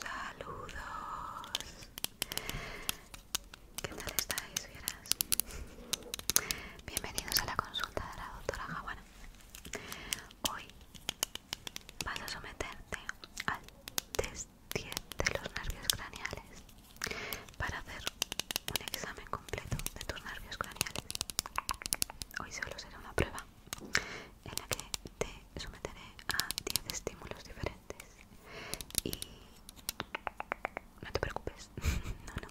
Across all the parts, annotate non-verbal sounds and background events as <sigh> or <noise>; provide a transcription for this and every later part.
Saludos. ¿Qué tal estáis, fieras? Bienvenidos a la consulta de la doctora Javana. Hoy vas a someterte al test de los nervios craneales para hacer un examen completo de tus nervios craneales. Hoy solo será una prueba en la que te someteré a 10 estímulos diferentes y no te preocupes, <laughs> no, no,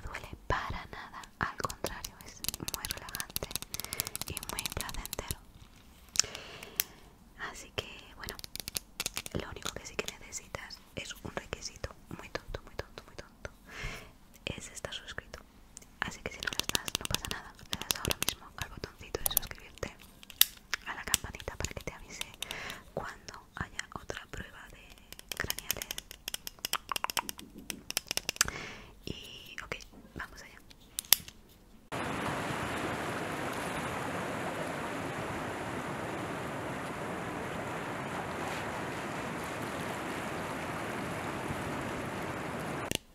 no duele para nada, al contrario, es muy relajante y muy placentero. Así que bueno, lo único que sí que necesitas es un requisito muy tonto, muy tonto, muy tonto. Es estar suscrito. Así que si no lo estás, no pasa nada. Le das ahora mismo al botoncito de suscribirte, a la campanita para que te avise cuando haya otra prueba de craneales. Y ok, vamos allá.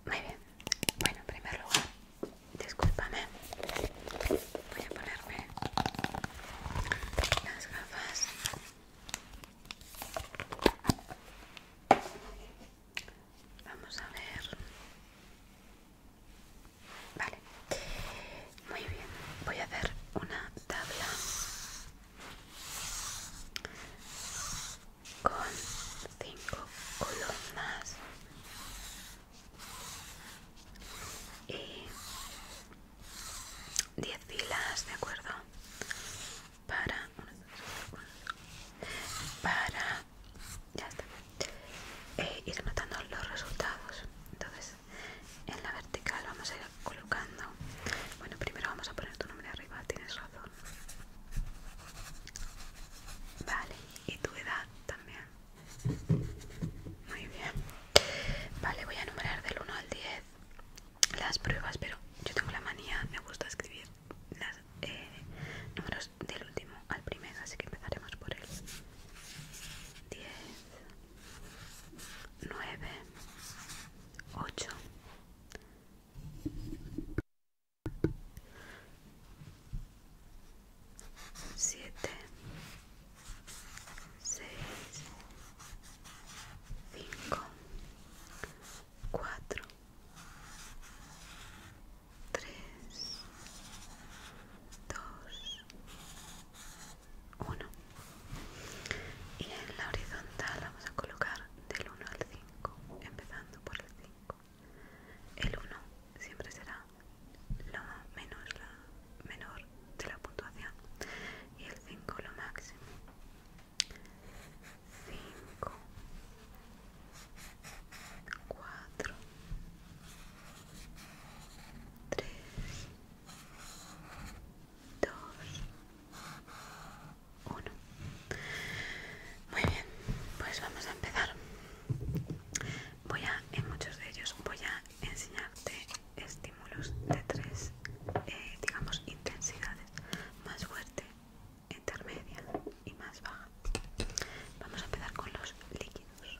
Muy bien. Bueno, en primer lugar, discúlpame. Voy a ponerme las gafas. Vamos a ver. Vale. Muy bien. Voy a hacer una tabla con cinco columnas y 10 filas de acuerdo para para ya está eh, ir notando los resultados entonces en la vertical vamos a ir colocando bueno primero vamos a poner tu nombre arriba tienes razón vale y tu edad también muy bien vale voy a numerar del 1 al 10 las pruebas pero yo tengo la manía me gusta escribir los eh, números del último al primero así que empezaremos por el 10 nueve, ocho, siete, seis, cinco, cuatro, tres, dos 1 y en la horizontal vamos a colocar del 1 al 5 empezando por el 5 el 1 siempre será lo la menor de la puntuación y el 5 lo máximo 5 4 3 2, 1. Muy bien, pues vamos a empezar. Voy a, en muchos de ellos, voy a enseñarte estímulos de tres, eh, digamos, intensidades más fuerte, intermedia y más baja. Vamos a empezar con los líquidos.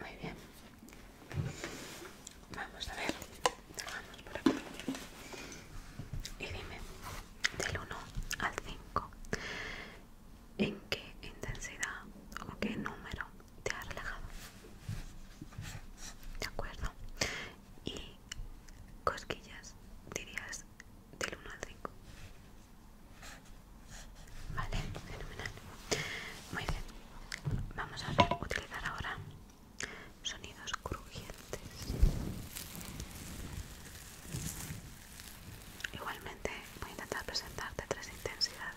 Muy bien. Vamos a ver. por aquí. Y dime, del 1 al 5, en qué intensidad o qué número te ha relajado. ¿De acuerdo? Y cosquillas dirías del 1 al 5. Vale, fenomenal. Muy bien. Vamos a utilizar ahora sonidos crujientes. Igualmente voy a intentar presentarte tres intensidades.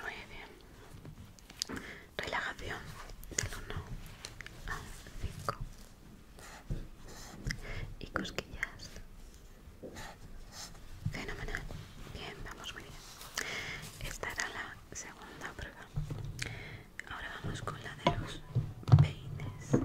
Muy bien. Relajación del 1 al 5. Y cosquillas. Fenomenal. Bien, vamos muy bien. Esta era la segunda prueba. Ahora vamos con la de los peines.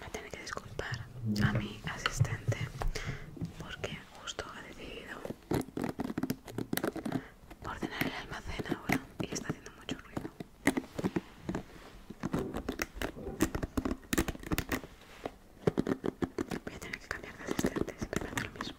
Me tener que disculpar a mi asistente porque justo ha decidido ordenar el almacén ahora y está haciendo mucho ruido. Voy a tener que cambiar de asistente, siempre hace lo mismo.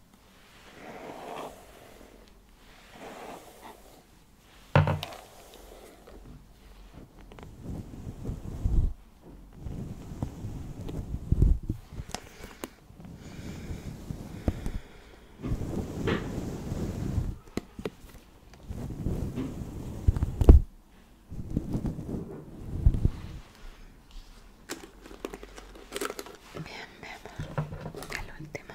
Bien, vemos al último.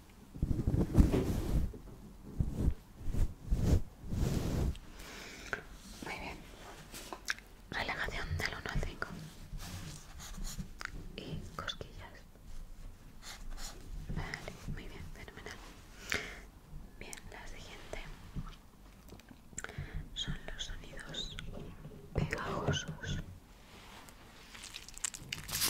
Muy bien. Relajación del 1 al 5. Y cosquillas. Vale, muy bien, fenomenal. Bien, la siguiente son los sonidos pegajosos.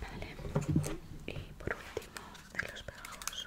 Vale. Y por último, de los pegajos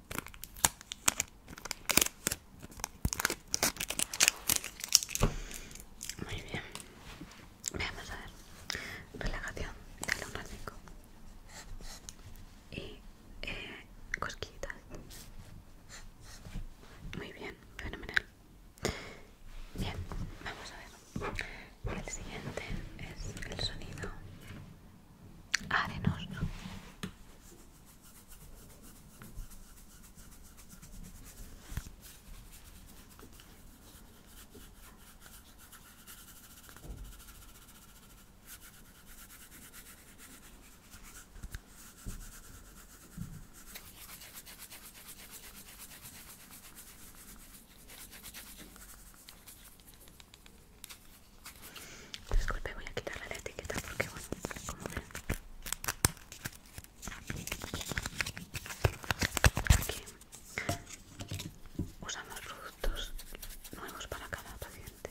Muy bien. Vamos a ver. Relajación del 1 Y eh, cosquillitas. Muy bien, fenomenal. Bien, vamos a ver. El siguiente es el sonido arenoso. Disculpe, voy a quitarle la etiqueta porque, bueno, como ven, aquí usamos productos nuevos para cada paciente.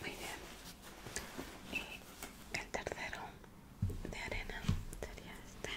Muy bien. Y el tercero de arena sería este.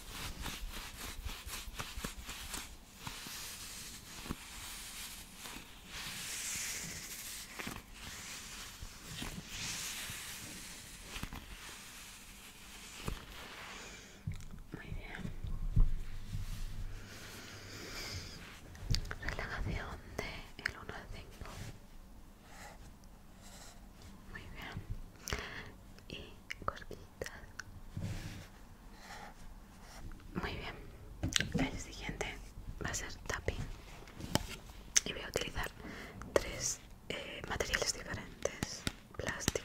Muy bien. Relajación de el 1 al 5. Muy bien. Y cosquillas. Muy bien. El siguiente va a ser tapping. Y voy a utilizar tres eh, materiales diferentes. Plástico.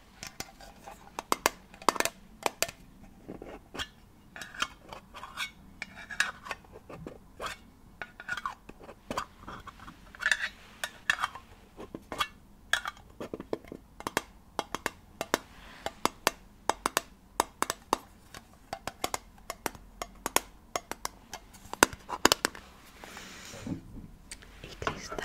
y cristal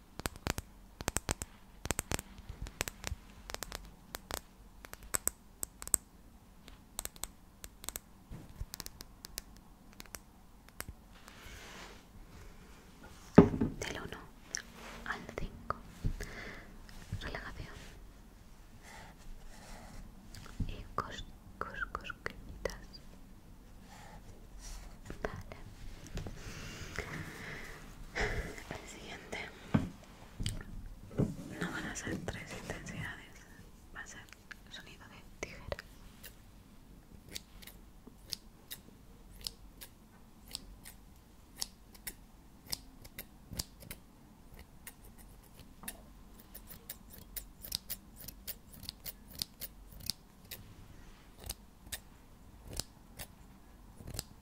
Del 1 al 5. Relajación. Y cos, cos, cosquillitas. El siguiente no van a ser tres intensidades, va a ser el sonido de tijera.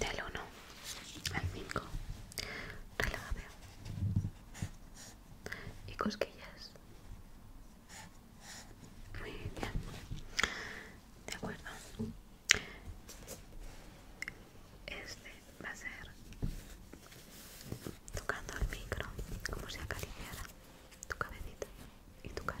Del 1 al 5. Relájate. Y cosquillas. Muy bien. De acuerdo. Este va a ser tocando el micro como si acariciara tu cabecita y tu cara.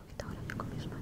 un poquito ahora con mis manos.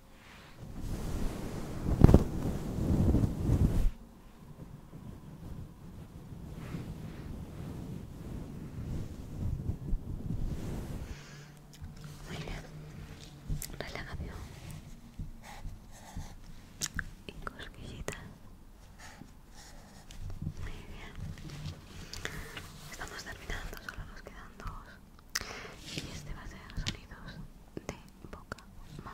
Muy bien, relajación y cosquillita. Muy bien, estamos terminando, solo nos quedan dos y este va a ser sonidos de boca, mouth,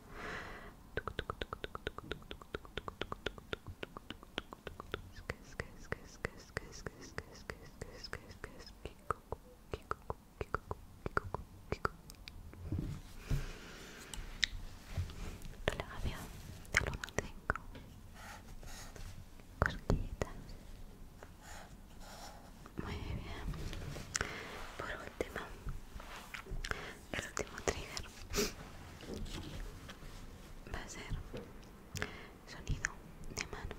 Relajación Muy bien Por el último trigger va a ser sonido de manos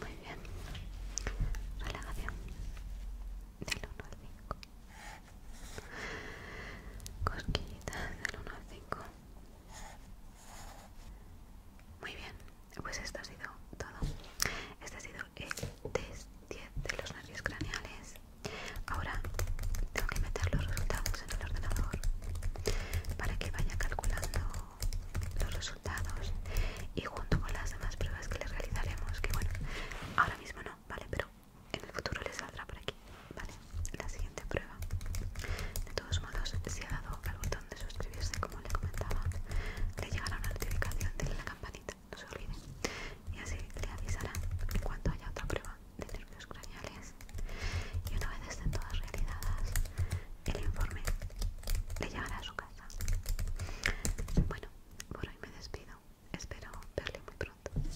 Muy bien. Relajación del 1 al 5. Cosquillitas del 1 al 5. Muy bien, pues esto ha sido todo. Este ha sido el test 10 de los nervios craneales. Ahora tengo que meter los resultados en el ordenador para que vaya calculando los resultados y junto con las demás pruebas que le realizaremos, que bueno, ahora mismo no, ¿vale? Pero en el futuro les saldrá por aquí. Vale, la siguiente prueba. De todos modos, si ha dado al botón de suscribirse, como le comentaba, le llegará una notificación de la campanita, no se olviden. Y así le avisará en cuanto haya otra prueba de nervios craneales. Y una vez estén todas realizadas, el informe le llegará a su casa. Bueno, por hoy me despido. Espero verle muy pronto.